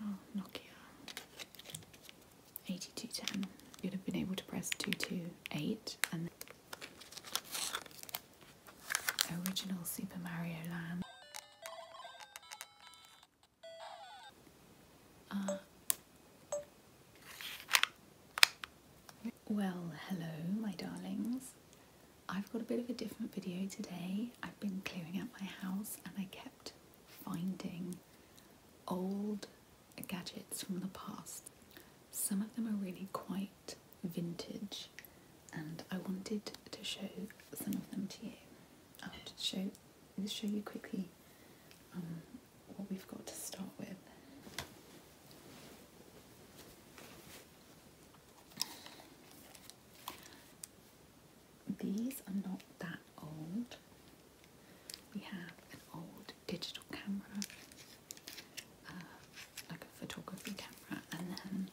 Oh, Nokia. 8210. You'd have been able to press 228 and original Super Mario Land. Uh, well, hello, my darlings. I've got a bit of a different video today. I've been clearing out my house and I kept finding old gadgets from the past. Some of them are really quite vintage, and I wanted to show some of them to you. I'll just show, just show you quickly um, what we've got to start with. These are not that old, we have an old digital camera, uh, like a photography camera, and then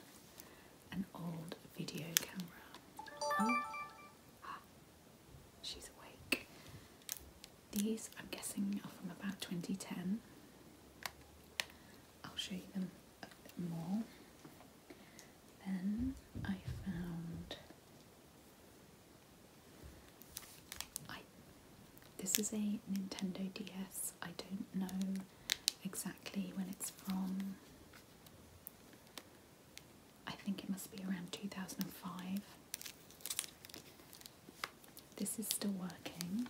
an old video camera. Oh, she's awake. These, I'm guessing, are from about 2010. I'll show you them a bit more. Then I found this is a Nintendo DS. I don't know exactly when it's from. I think it must be around 2005. This is still working.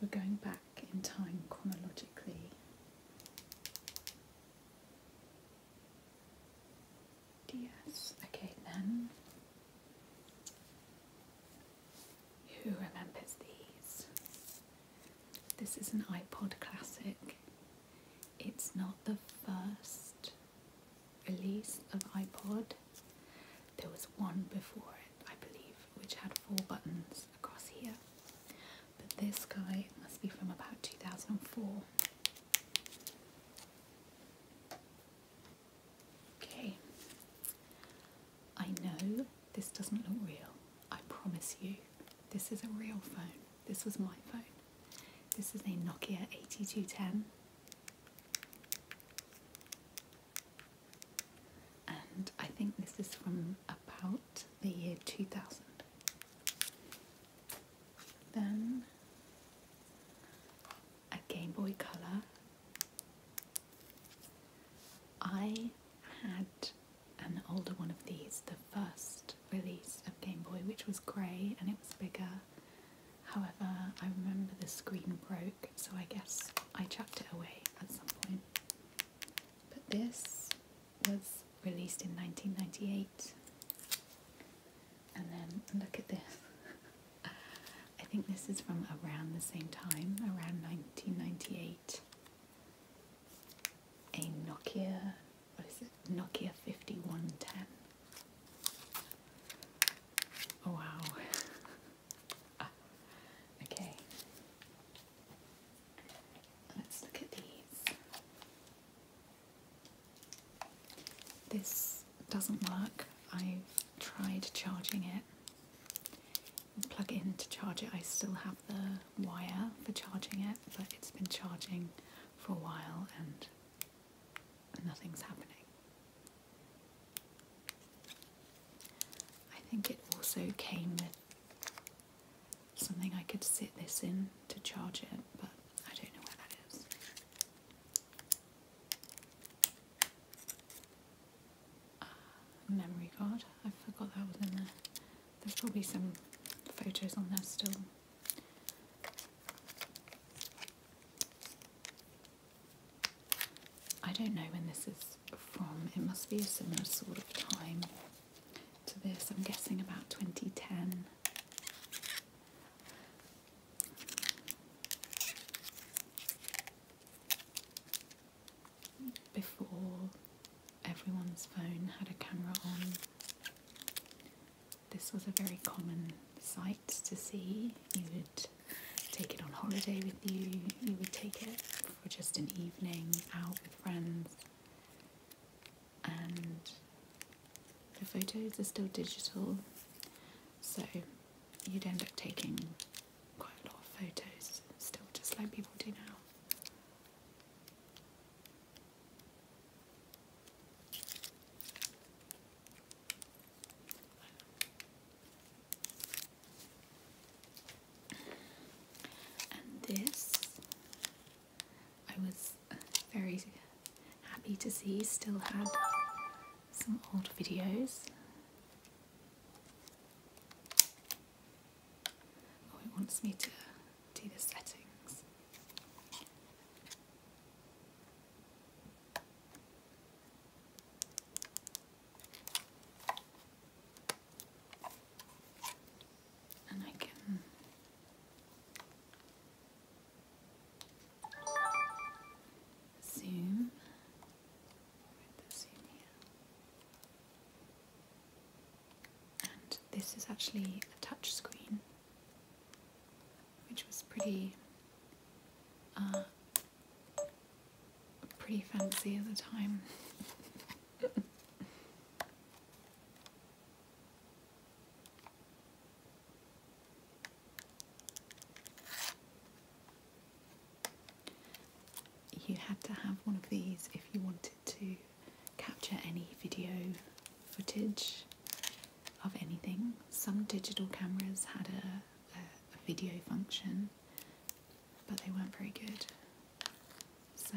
We're going back in time chronologically. Yes. Okay, then. Who remembers these? This is an iPod classic. It's not the first release of iPod. There was one before it, I believe, which had four buttons across here. But this guy must be from about 2004. Okay, I know this doesn't look real. I promise you, this is a real phone. This was my phone. This is a Nokia 8210. And I think this is from about the year 2000. Then a Game Boy Color. I had an older one of these, the first release of Game Boy, which was grey and it was bigger. However, I remember the screen broke, so I guess I chucked it away at some point. But this was released in 1998 and then look at this. I think this is from around the same time, around 1998. A Nokia, what is it? Nokia 5110. Wow. okay. Let's look at these. This doesn't work. I've tried charging it. Plug it in to charge it. I still have the wire for charging it, but it's been charging for a while and nothing's happening. I think it also came with something I could sit this in to charge it, but I don't know where that is. Ah, memory card. I forgot that was in there. There's probably some photos on there still. I don't know when this is from. It must be a similar sort of time to this. I'm guessing about 2010. Before everyone's phone had a camera on, this was a very common sight to see. You would take it on holiday with you, you would take it for just an evening out with friends and the photos are still digital, so you'd end up taking quite a lot of photos still, just like people do now. And this I was very happy to see he still had some old videos. Oh, it wants me to do the settings. And I can Zoom. this is actually a touch screen, which was pretty, uh, pretty fancy at the time. You had to have one of these if you wanted to capture any video footage of anything. Some digital cameras had a, video function, but they weren't very good. So,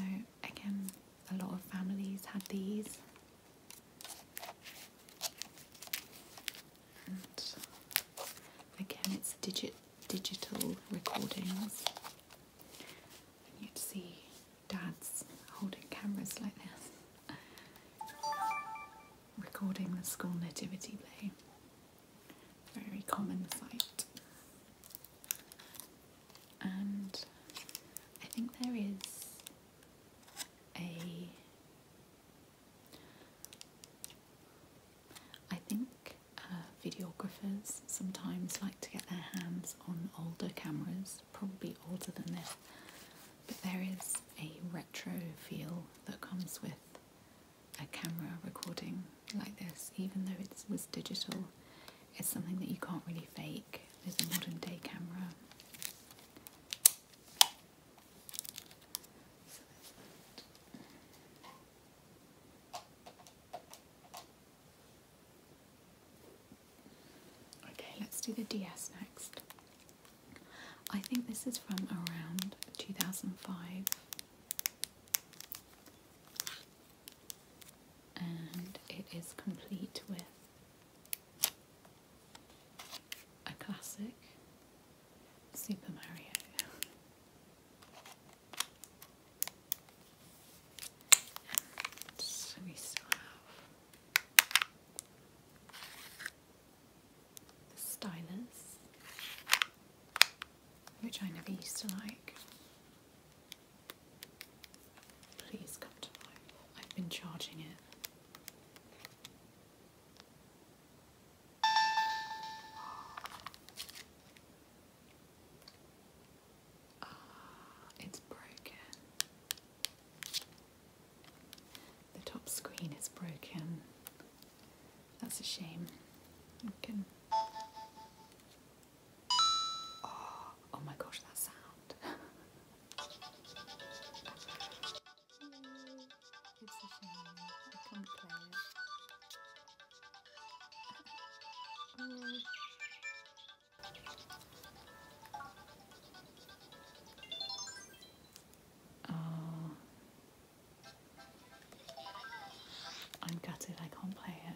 again, a lot of families had these. And again, it's digit digital recordings. you'd see dads holding cameras like this, recording the school nativity play. Very common sight. And I think there is a I think uh, videographers sometimes like to get their hands on older cameras, probably older than this, but there is a retro feel that comes with a camera recording like this, even though it was digital. It's something that you can't really fake. There's a modern day camera. okay, let's do the DS next. I think this is from around 2005. And it is complete with a classic Super Mario. we still have the stylus, which I never used to like. Please come to life. I've been charging it. Ah, it's broken. The top screen is broken. That's a shame. Ah, oh my gosh, that sound. It's a shame. I can't play it. oh. oh. I'm gutted I can't play it.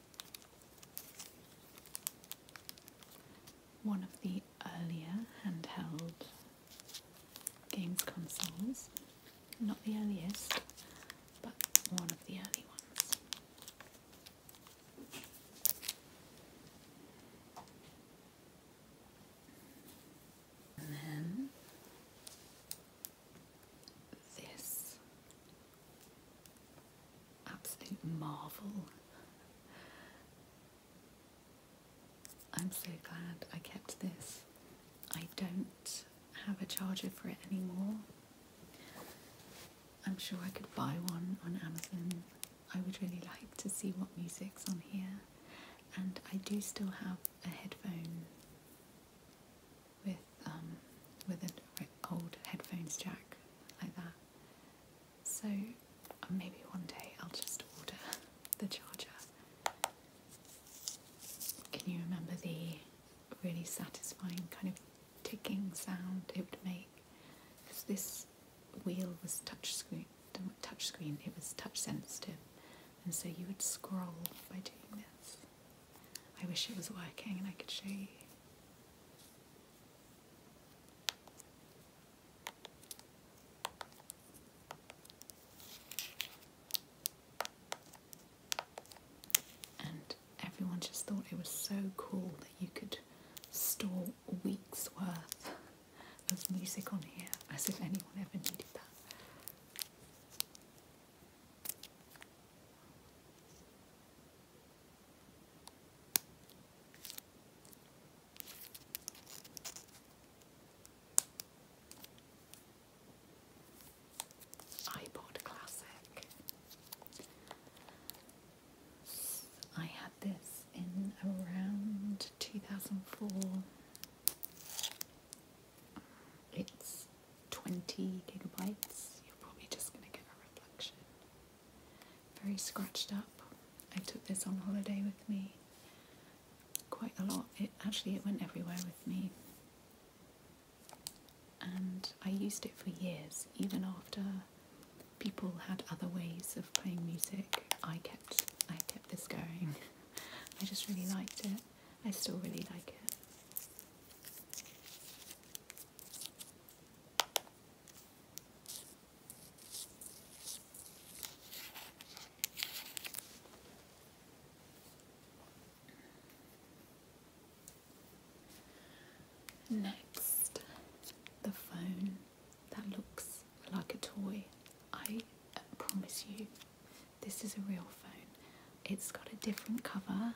one of the earlier handheld games consoles. Not the earliest, but one of the early ones. And then this absolute marvel. I'm so glad I kept this. I don't have a charger for it anymore. I'm sure I could buy one on Amazon. I would really like to see what music's on here. And I do still have a headphone with um, with an old headphones jack like that. So maybe one day I'll just order the charger. Can you remember the really satisfying kind of ticking sound it would make? this wheel was touch screen, touch screen, it was touch sensitive, and so you would scroll by doing this. I wish it was working and I could show you. And everyone just thought it was so cool that you could store week's worth of music on here, as if anyone ever needed that iPod Classic. I had this in around 2004. It's 20 gigabytes. You're probably just going to get a reflection very scratched up. I took this on holiday with me quite a lot. It actually it went everywhere with me. And I used it for years, even after people had other ways of playing music. I kept I kept this going. I just really liked it. I still really like it. Next, the phone that looks like a toy. I promise you, this is a real phone. It's got a different cover.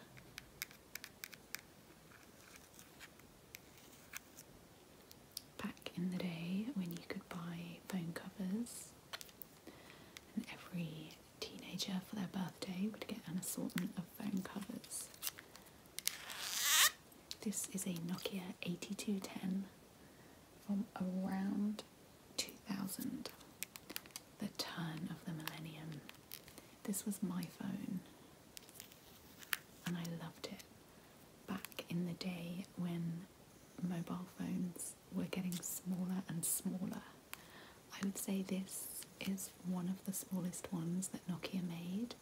Back in the day when you could buy phone covers, and every teenager for their birthday would get an assortment of phone covers. This is a Nokia 8210 from around 2000, the turn of the millennium. This was my phone and I loved it back in the day when mobile phones were getting smaller and smaller. I would say this is one of the smallest ones that Nokia made.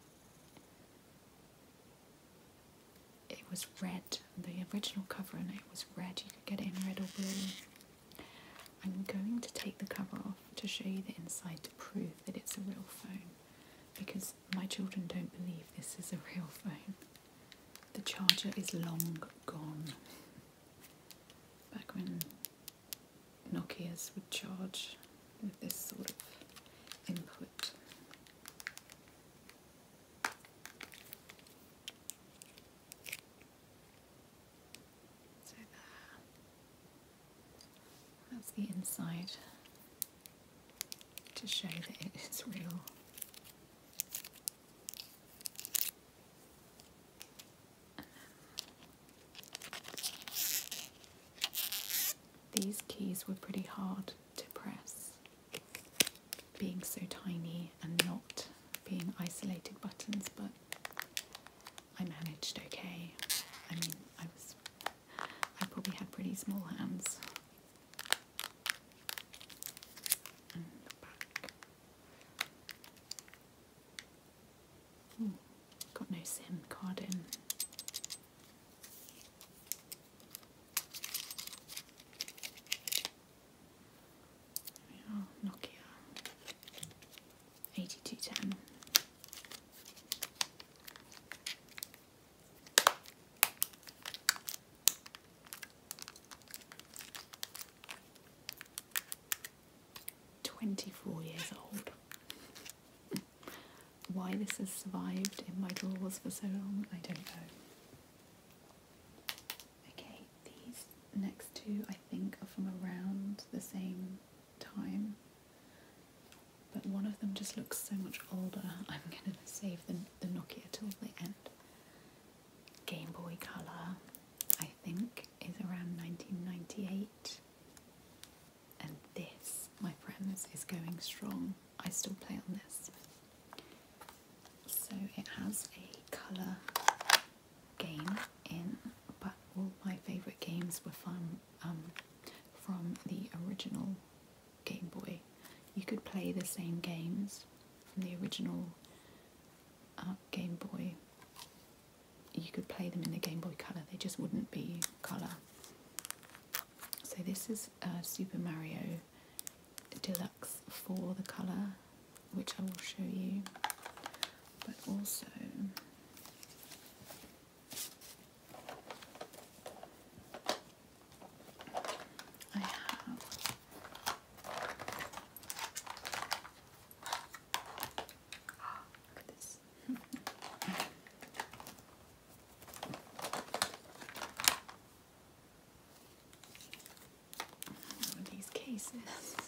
It was red, the original cover and it was red, you could get it in red or blue. I'm going to take the cover off to show you the inside to prove that it's a real phone because my children don't believe this is a real phone. The charger is long gone. Back when Nokias would charge with this sort of input. So there. That's the inside to show that it is real. These keys were pretty hard to press, being so tiny and not being isolated buttons, but I managed okay. I mean, I was. I probably had pretty small hands. got no SIM card in. Nokia. Eighty-two ten. Twenty-four years old. Why this has survived in my drawers for so long, I don't know. Okay, these next two I think are from around the same time. But one of them just looks so much older. I'm going to save the, the Nokia till the end. Game Boy Color, I think, is around 1998. And this, my friends, is going strong. I still play on this. So it has a colour game in, but all my favourite games were fun um, from the original Game Boy. You could play the same games from the original uh, Game Boy. You could play them in the Game Boy Color. They just wouldn't be color. So this is uh, Super Mario Deluxe for the color, which I will show you. But also, I have look at this. These cases.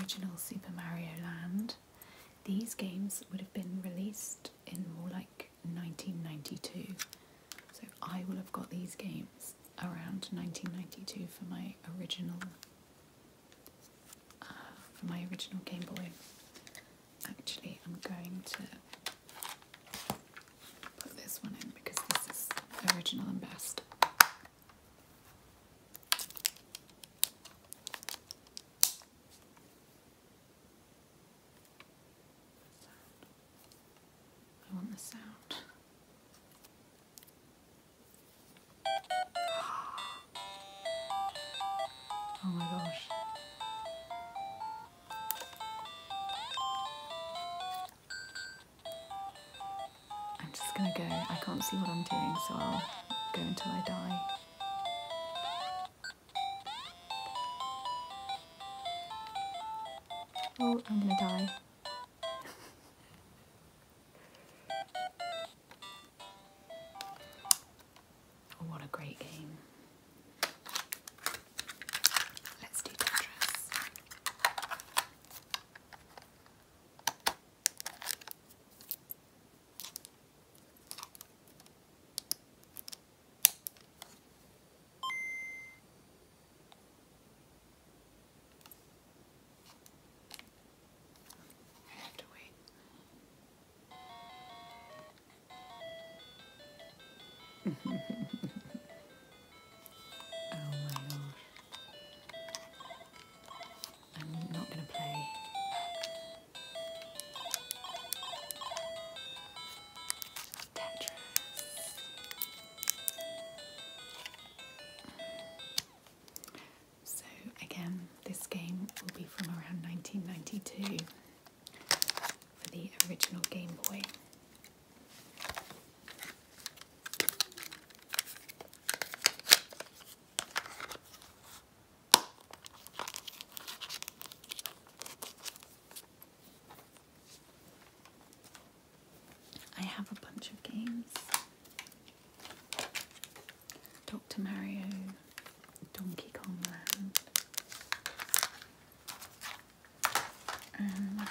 Original Super Mario Land. These games would have been released in more like 1992. So I will have got these games around 1992 for my original uh, for my original Game Boy. Actually, I'm going to put this one in because this is original and best. I want the sound. Oh my gosh. I'm just gonna go. I can't see what I'm doing, so I'll go until I die. Oh, I'm gonna die. oh, what a great game. Let's do Tetris. I have to wait. Oh my god. I'm not going to play. Tetris. So, again, this game will be from around 1992 for the original Game Boy. I have a bunch of games. Dr. Mario, Donkey Kong Land, um,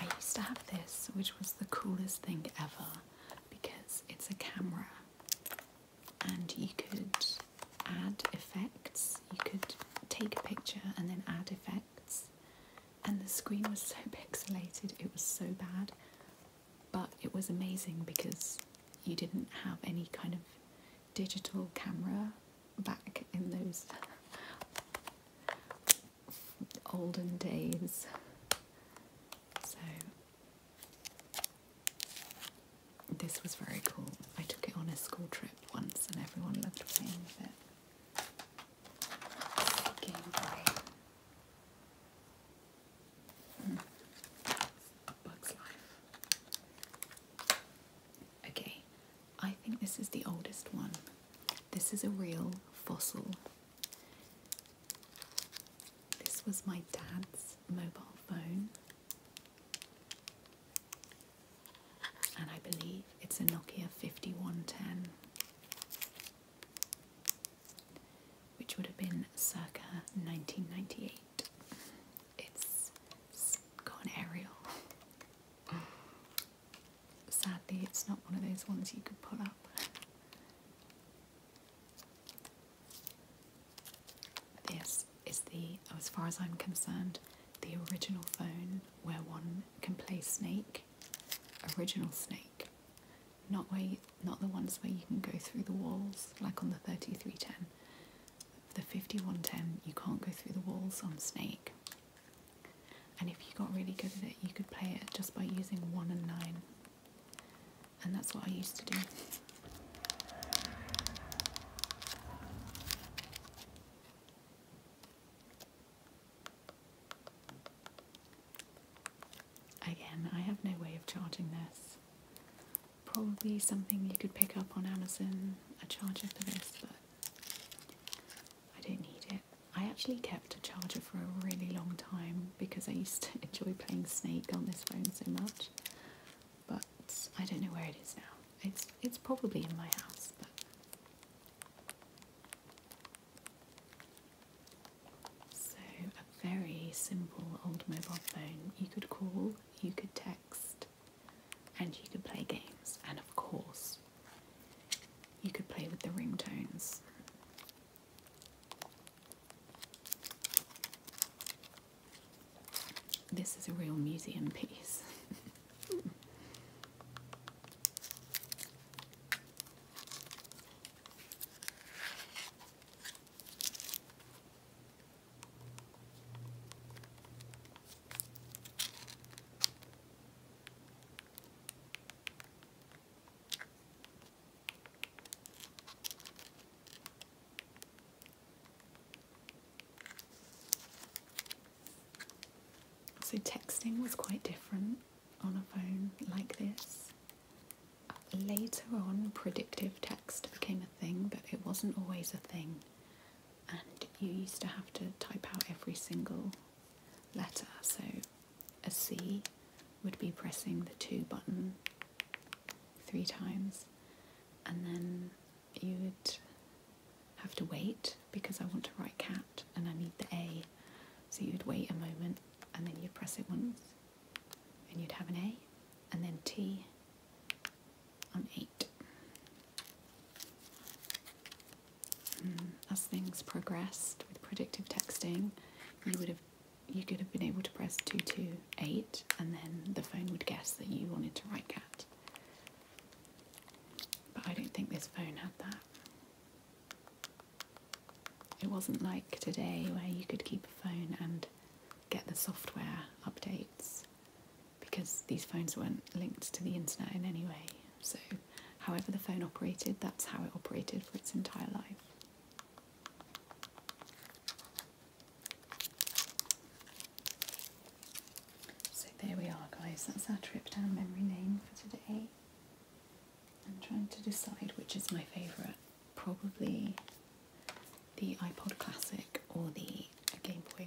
I used to have this, which was the coolest thing ever because it's a camera and you could add effects. You could take a picture and then add effects. And the screen was so pixelated, it was so bad, but it was amazing because you didn't have any kind of digital camera back in those olden days. So this was very cool. I took it on a school trip once and everyone loved playing with it. Game Boy. Mm. Bugs Life. Okay, I think this is the oldest one. This is a real fossil. This was my dad's mobile phone. And I believe it's a Nokia 5110, which would have been circa 1998. It's gone aerial Sadly, it's not one of those ones you could pull up. This is the, as far as I'm concerned, the original phone where one can play Snake. Original Snake, not where not the ones where you can go through the walls like on the 3310. The 5110, you can't go through the walls on Snake. And if you got really good at it, you could play it just by using 1 and 9. And that's what I used to do. Again, I have no way of charging this. Probably something you could pick up on Amazon, a charger for this, but I don't need it. I actually kept a charger for a really long time because I used to enjoy playing Snake on this phone so much. But I don't know where it is now. It's it's probably in my house, so a very simple old mobile phone. You could call, you could text, and you could play games, and of course, you could play with the ringtones. This is a real museum piece. So texting was quite different on a phone like this. Later on, predictive text became a thing, but it wasn't always a thing and you used to have to type out every single letter. So a C would be pressing the two button three times, and then you would have to wait because I want to write cat and I need the A. So you'd wait a moment and then you'd press it once and you'd have an A, and then T on A Mm, as things progressed with predictive texting, you would have you could have been able to press 228 and then the phone would guess that you wanted to write cat. But I don't think this phone had that. It wasn't like today where you could keep a phone and get the software updates because these phones weren't linked to the internet in any way. So, however, the phone operated, that's how it operated for its entire life. So, there we are, guys. That's our trip down memory lane for today. I'm trying to decide which is my favourite. Probably the iPod Classic or the Game Boy.